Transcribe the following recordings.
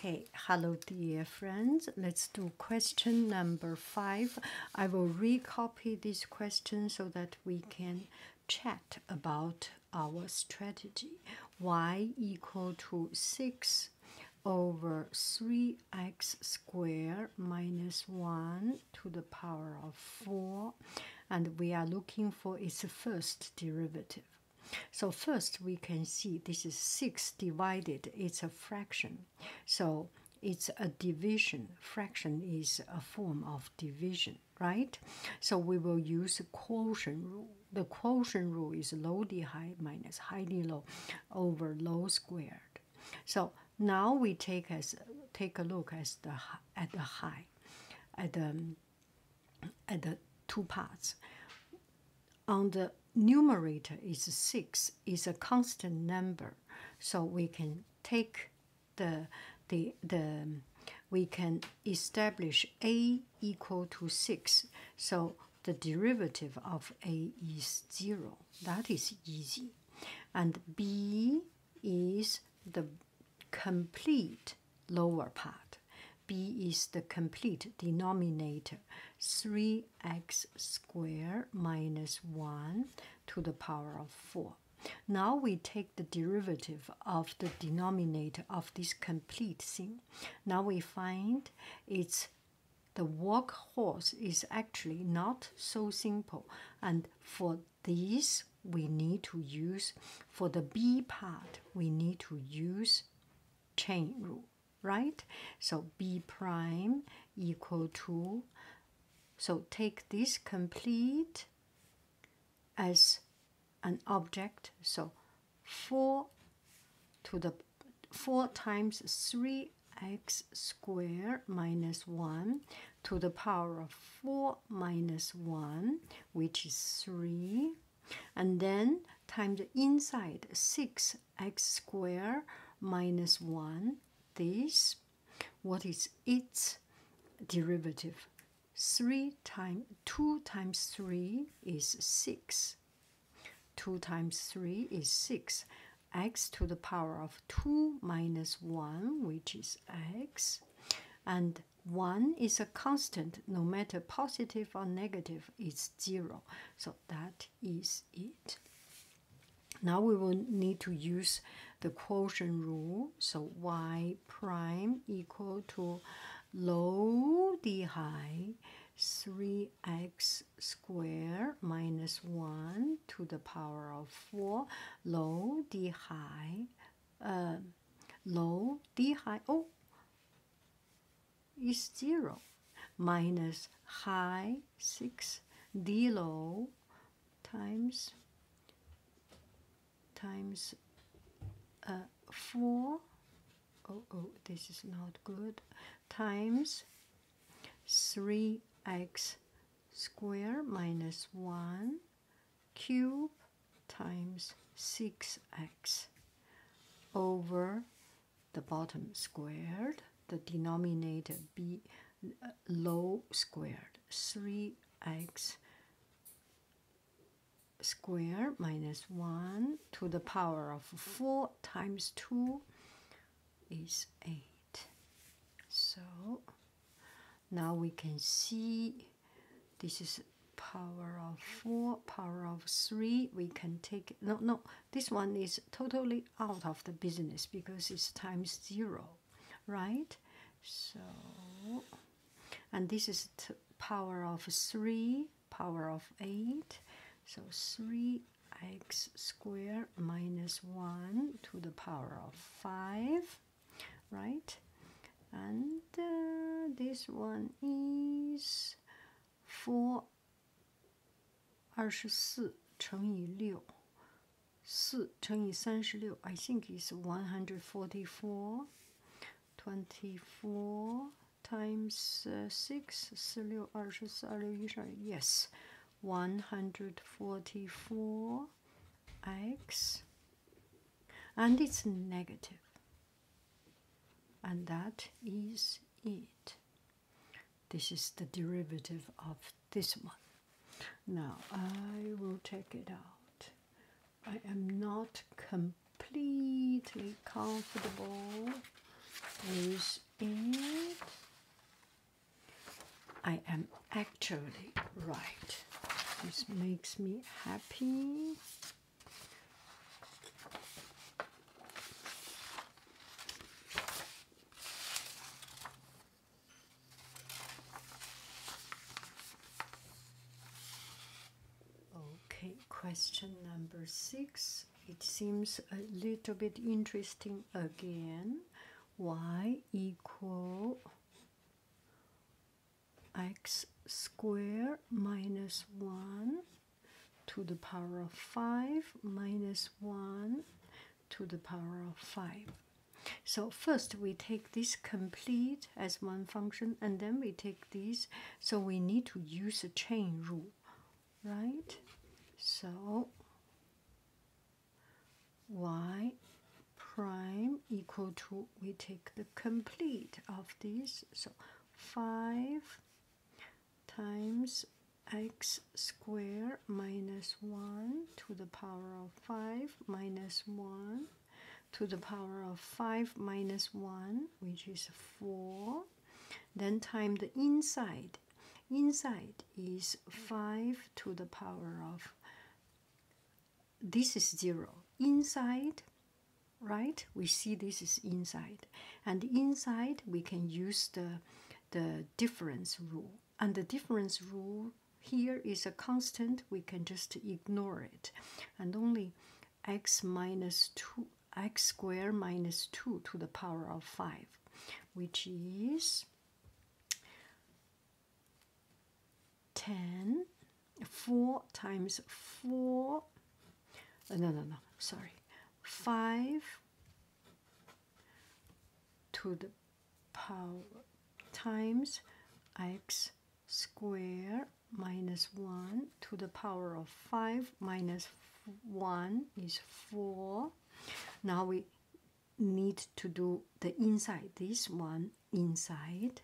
Okay, hello dear friends. Let's do question number five. I will recopy this question so that we can chat about our strategy. y equal to 6 over 3x squared minus 1 to the power of 4. And we are looking for its first derivative. So first we can see this is 6 divided, it's a fraction. So it's a division. Fraction is a form of division, right? So we will use quotient rule. The quotient rule is low d high minus high d low over low squared. So now we take as take a look as the at the high, at the um, at the two parts on the numerator is 6 is a constant number so we can take the the the we can establish a equal to 6 so the derivative of a is 0 that is easy and b is the complete lower part b is the complete denominator 3x squared minus 1 to the power of 4 now we take the derivative of the denominator of this complete thing now we find it's the workhorse is actually not so simple and for this we need to use for the b part we need to use chain rule, right? So B prime equal to, so take this complete as an object, so 4 to the 4 times 3x squared minus 1 to the power of 4 minus 1, which is 3 and then times inside 6x square minus 1 this what is its derivative 3 times 2 times 3 is 6 2 times 3 is 6 x to the power of 2 minus 1 which is x and 1 is a constant no matter positive or negative is zero. So that is it. Now we will need to use the quotient rule. So y prime equal to low d high 3x square minus minus 1 to the power of 4 low d high uh, low d high oh is 0 minus high 6 d low times times uh, 4 oh this is not good times 3x square minus 1 cube times 6x over the bottom squared, the denominator be low squared, 3x squared minus 1 to the power of 4 times 2 is 8. So now we can see this is power of 4, power of 3. We can take, no, no, this one is totally out of the business because it's times 0, right? So, and this is power of 3, power of 8. So 3x squared minus 1 to the power of 5, right? and uh, this one is four I think it's one hundred forty-four. Twenty-four times uh, Yes, hundred forty-four x, and it's negative and that is it. This is the derivative of this one. Now I will take it out. I am not completely comfortable with it. I am actually right. This makes me happy. Okay, question number six. It seems a little bit interesting again. Y equal x squared minus 1 to the power of 5 minus 1 to the power of 5. So first we take this complete as one function and then we take these. So we need to use a chain rule, right? So y prime equal to we take the complete of these. So 5 times x squared minus 1 to the power of 5 minus 1 to the power of 5 minus 1, which is 4. Then time the inside. Inside is 5 to the power of this is zero inside right we see this is inside and inside we can use the the difference rule and the difference rule here is a constant we can just ignore it and only x minus 2 x squared minus 2 to the power of 5 which is 10 4 times 4 oh, no no no sorry 5 to the power times x square minus 1 to the power of 5 minus 1 is 4 now we need to do the inside this one inside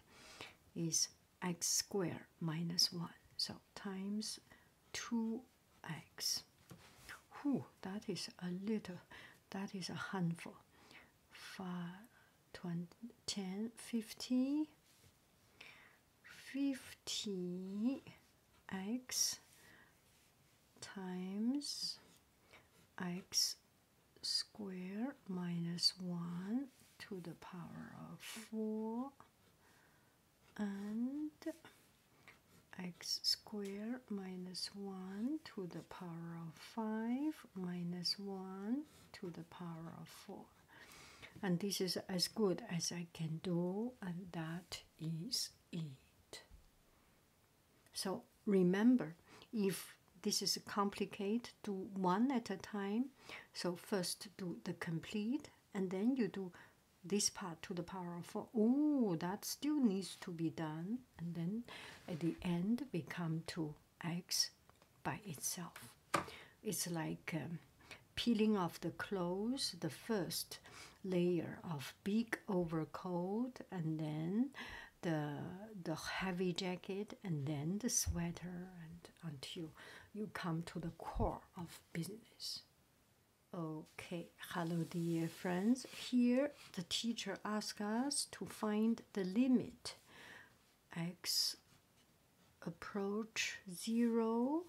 is x squared minus 1. So times 2x. Whew, that is a little, that is a handful. 5, 10, 50, 50x times x square minus 1 to the power of 4 and x square minus 1 to the power of 5 minus 1 to the power of 4 and this is as good as I can do and that is it so remember if this is complicated. Do one at a time. So first do the complete, and then you do this part to the power of four. Oh, that still needs to be done. And then at the end we come to x by itself. It's like um, peeling off the clothes, the first layer of big overcoat, and then the the heavy jacket and then the sweater and until you come to the core of business. Okay, hello dear friends. Here the teacher asks us to find the limit. X approach 0,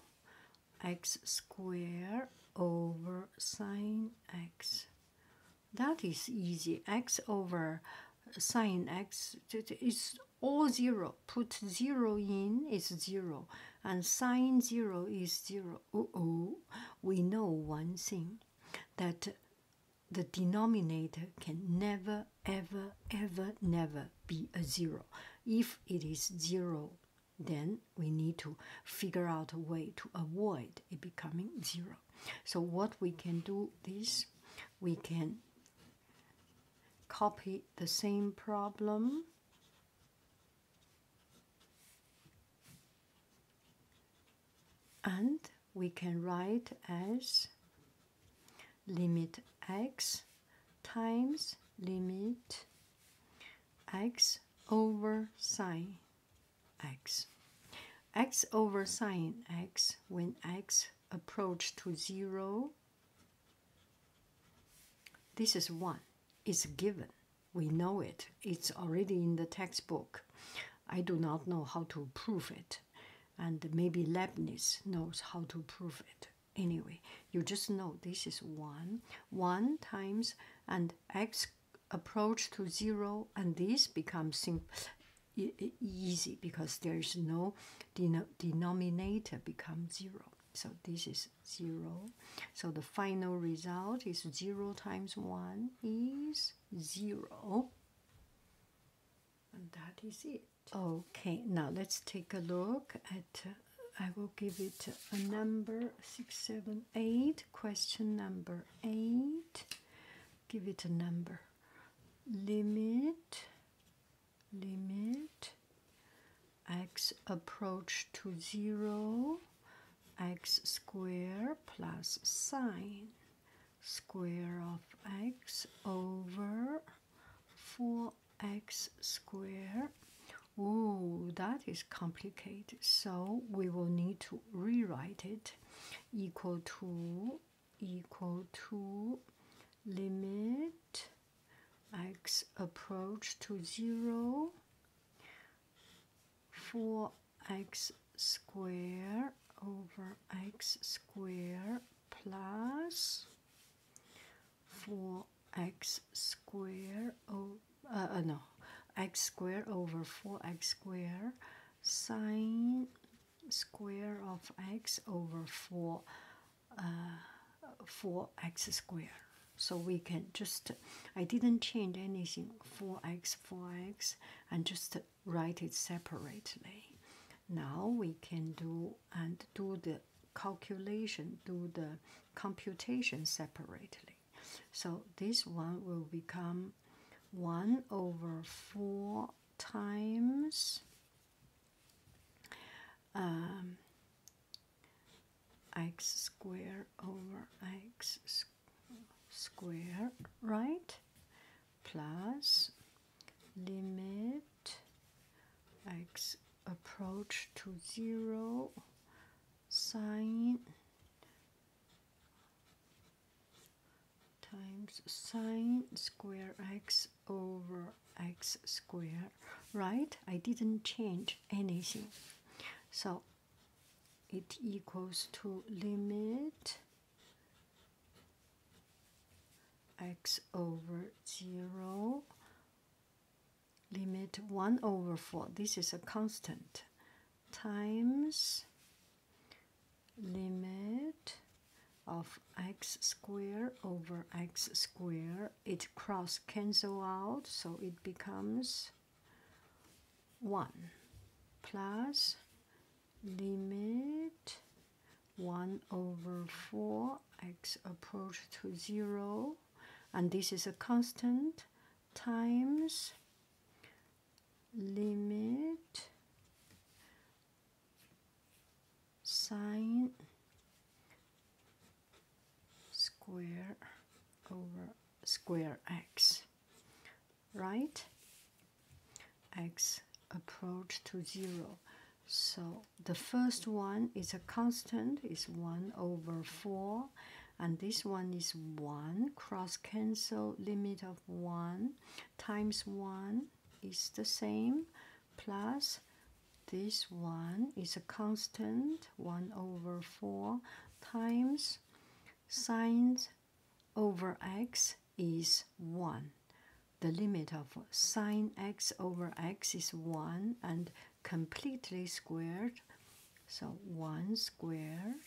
x square over sine x. That is easy. x over sine x is all zero. Put zero in is zero. And sine zero is zero. oh, we know one thing that the denominator can never, ever, ever, never be a zero. If it is zero, then we need to figure out a way to avoid it becoming zero. So what we can do is we can copy the same problem and we can write as limit x times limit x over sine x x over sine x when x approach to 0 this is 1 it's given we know it it's already in the textbook i do not know how to prove it and maybe leibniz knows how to prove it anyway you just know this is 1 1 times and x approach to 0 and this becomes easy because there's no denominator becomes zero. So this is zero. So the final result is zero times one is zero. And that is it. Okay, now let's take a look at. I will give it a number six, seven, eight. Question number eight. Give it a number limit limit x approach to zero x square plus sine square of x over 4x square Ooh, that is complicated. So we will need to rewrite it equal to equal to limit x approach to 0 4x square over x square plus 4x square oh, uh, uh, no x square over 4x square sine square of x over 4 uh, 4x squared. So we can just, I didn't change anything, 4x, 4x, and just write it separately. Now we can do and do the calculation, do the computation separately. So this one will become 1 over 4 times um, x squared over x squared right plus limit x approach to zero sine times sine square x over x square right i didn't change anything so it equals to limit x over 0 limit 1 over 4 this is a constant times limit of x squared over x squared, it cross cancel out so it becomes 1 plus limit 1 over 4 x approach to 0 and this is a constant times limit sine square over square x right x approach to zero so the first one is a constant is 1 over 4 and this one is 1 cross cancel limit of 1 times 1 is the same plus this one is a constant 1 over 4 times sine over x is 1 the limit of sine x over x is 1 and completely squared so 1 squared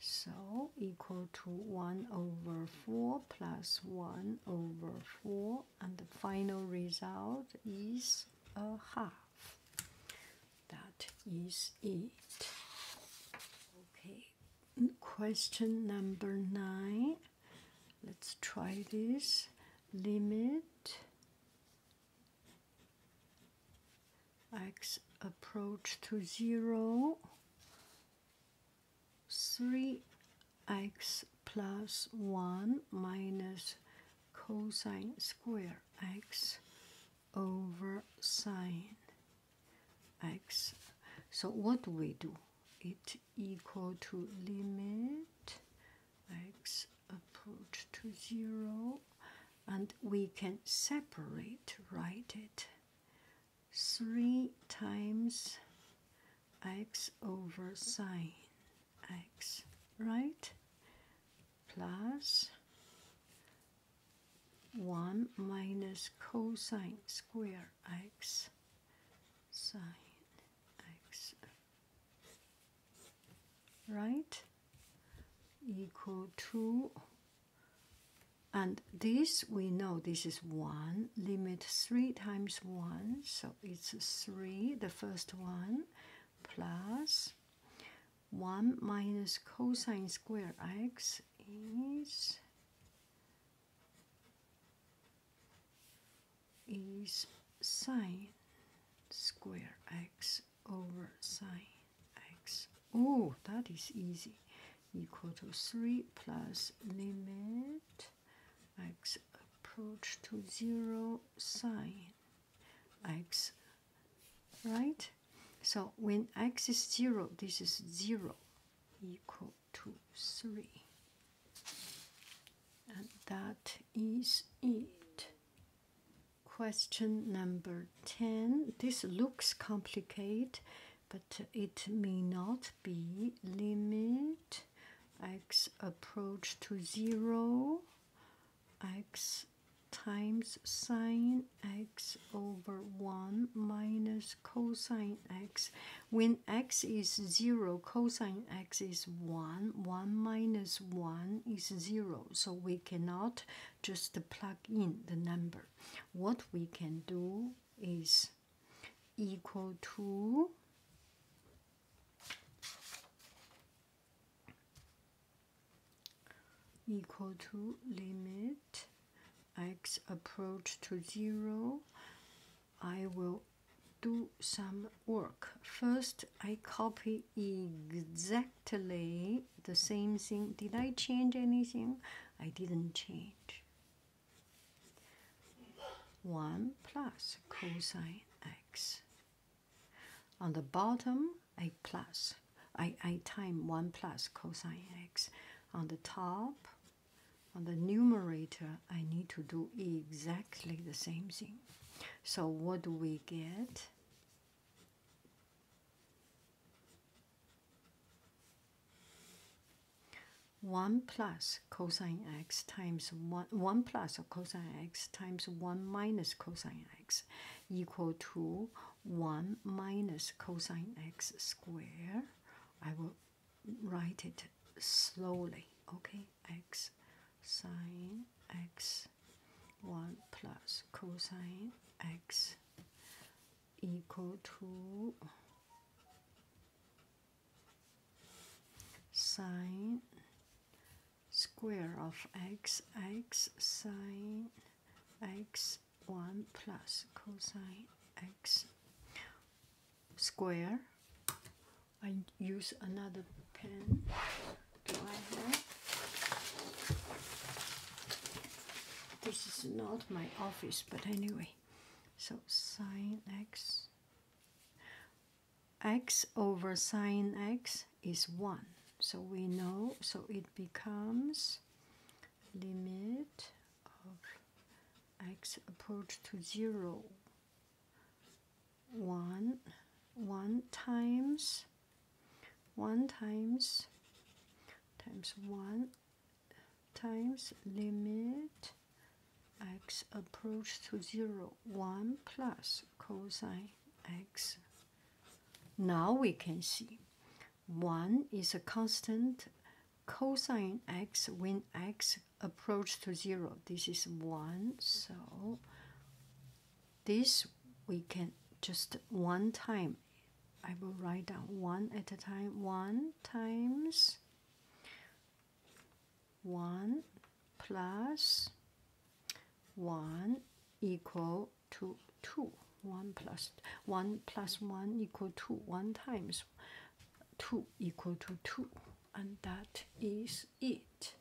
so equal to 1 over 4 plus 1 over 4, and the final result is a half. That is it. Okay, question number 9. Let's try this. Limit x approach to 0, 3x plus 1 minus cosine square x over sine x. So what do we do? It equal to limit x approach to 0 and we can separate write it 3 times x over sine x right plus 1 minus cosine square x sine x right equal to and this we know this is 1 limit 3 times 1 so it's 3 the first one plus 1 minus cosine square x is is sine square x over sine x. Oh, that is easy. Equal to 3 plus limit x approach to 0 sine x. Right? So when x is 0, this is 0 equal to 3. And that is it. Question number 10. This looks complicated, but it may not be. Limit x approach to 0, x times sine x over 1 minus cosine x. When x is 0, cosine x is 1. 1 minus 1 is 0. So we cannot just plug in the number. What we can do is equal to equal to limit x approach to zero. I will do some work. First, I copy exactly exactly the same thing. Did I change anything? I didn't change. 1 plus cosine x. On the bottom, I plus, I, I time 1 plus cosine x. On the top, on the numerator, I need to do exactly the same thing. So what do we get? 1 plus cosine x times 1, 1 plus cosine x times 1 minus cosine x equal to 1 minus cosine x squared. I will write it slowly. Okay, x sine x 1 plus cosine x equal to sine square of x x sine x 1 plus cosine x square. I use another pen. Uh-huh. This is not my office, but anyway. So sine x, x over sine x is 1. So we know, so it becomes limit of x approach to 0, 1, 1 times 1 times times 1 times limit x approach to 0 1 plus cosine x now we can see 1 is a constant cosine x when x approach to 0 this is 1 so this we can just one time i will write down one at a time one times one plus one equal to two one plus one plus one equal to one times two equal to two and that is it